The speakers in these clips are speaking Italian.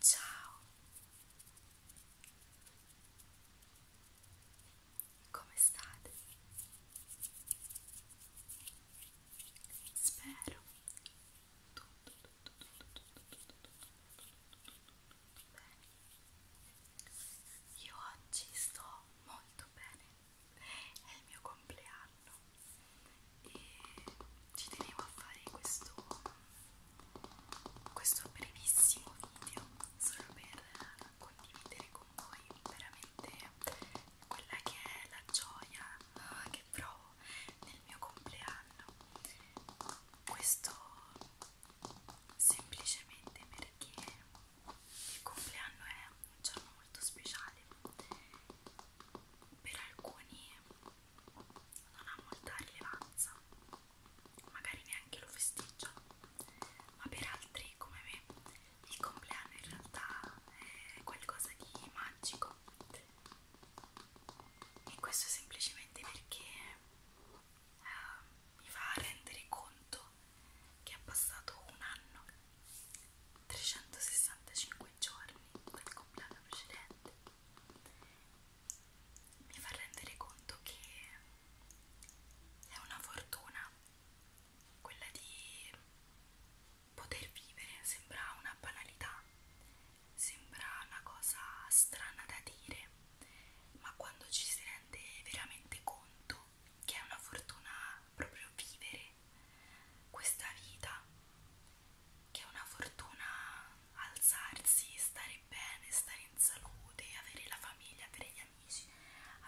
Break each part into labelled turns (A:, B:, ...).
A: Ciao, come state? Spero tutto, tutto, tutto, tutto, tutto, tutto, tutto bene. Io oggi sto molto bene è il mio compleanno e ci tenevo a fare questo, questo brevissimo video solo per condividere con voi veramente quella che è la gioia ah, che provo nel mio compleanno questo semplicemente perché il compleanno è un giorno molto speciale per alcuni non ha molta rilevanza magari neanche lo festeggiano ma per altri come me il compleanno in realtà è qualcosa di magico e questo semplicemente perché eh, mi fa rendere conto che è passato un anno, 365 giorni dal completo precedente, mi fa rendere conto che è una fortuna quella di poter vivere, sembra una banalità, sembra una cosa strana da dire, ma quando ci si rende veramente conto detto che è una fortuna proprio vivere questa vita, che è una fortuna alzarsi, stare bene, stare in salute, avere la famiglia, avere gli amici,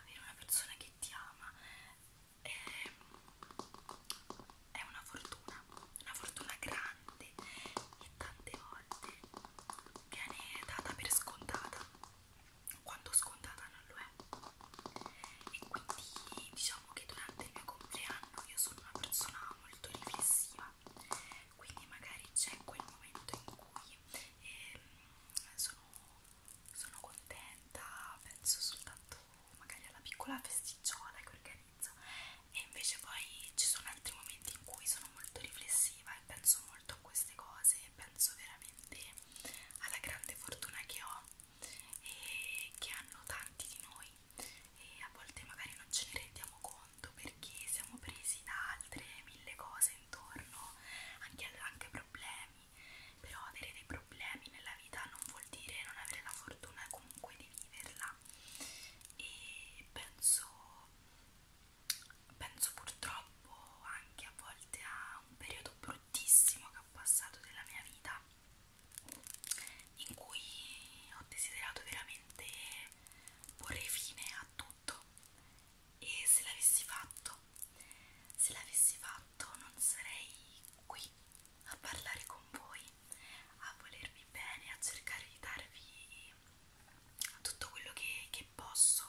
A: avere una persona che ti ama. È, è una fortuna, una fortuna grande e tante volte viene data per scontata quanto scontata non lo è e quindi diciamo che durante il mio compleanno io sono una persona molto riflessiva quindi magari c'è quel momento in cui eh, sono, sono contenta penso soltanto magari alla piccola festicciola che organizzo e invece poi ci sono altri momenti in cui sono molto riflessiva e penso molto a queste cose e penso veramente alla grande fortuna che ho e che hanno tanti di noi e a volte magari non ce ne rendiamo conto perché siamo presi da altre mille cose intorno, anche, anche problemi, però avere dei problemi nella vita non vuol dire non avere la fortuna comunque di viverla e penso, penso purtroppo anche a volte a un periodo bruttissimo che ho passato della mia vita in cui ho desiderato veramente porre fine a tutto e se l'avessi fatto se l'avessi fatto non sarei qui a parlare con voi a volervi bene a cercare di darvi tutto quello che, che posso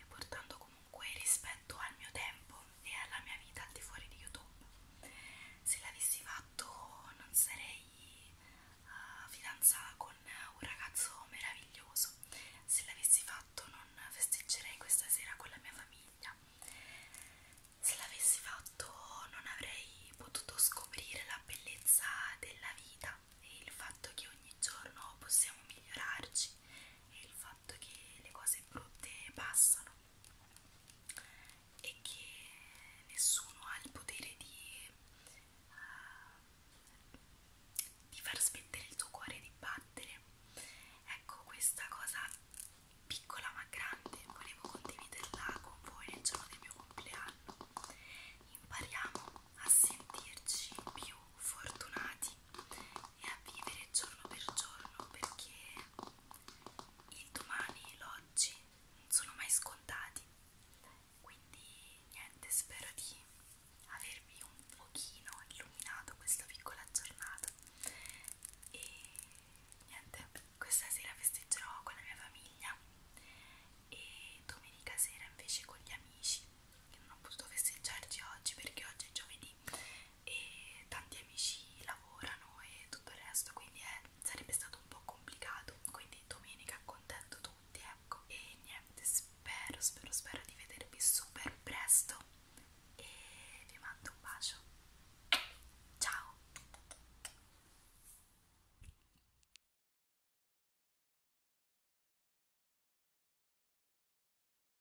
A: e portando con comunque rispetto al mio tempo e alla mia vita al di fuori di YouTube. Se l'avessi fatto non sarei uh, fidanzata con un ragazzo meraviglioso, se l'avessi fatto non festeggerei questa sera con la mia famiglia, se l'avessi fatto non avrei potuto scoprire la bellezza della vita e il fatto che ogni giorno possiamo migliorarci il fatto che le cose brutte passano e che nessuno ha il potere di, uh, di far smettere il tuo cuore di battere. Ecco, questa cosa piccola ma grande volevo condividerla con voi nel giorno del mio compleanno. Impariamo a sentirci più fortunati e a vivere giorno per giorno perché il domani e l'oggi non sono mai scontati quindi niente spero di avervi un pochino illuminato questa piccola giornata e niente questa sera festeggerò con la mia famiglia e domenica sera invece con gli amici che non ho potuto festeggiarci oggi perché oggi è giovedì e tanti amici lavorano e tutto il resto quindi è, eh, sarebbe stato un po' complicato quindi domenica contento tutti ecco e niente spero spero spero di vedervi super presto e vi mando un bacio ciao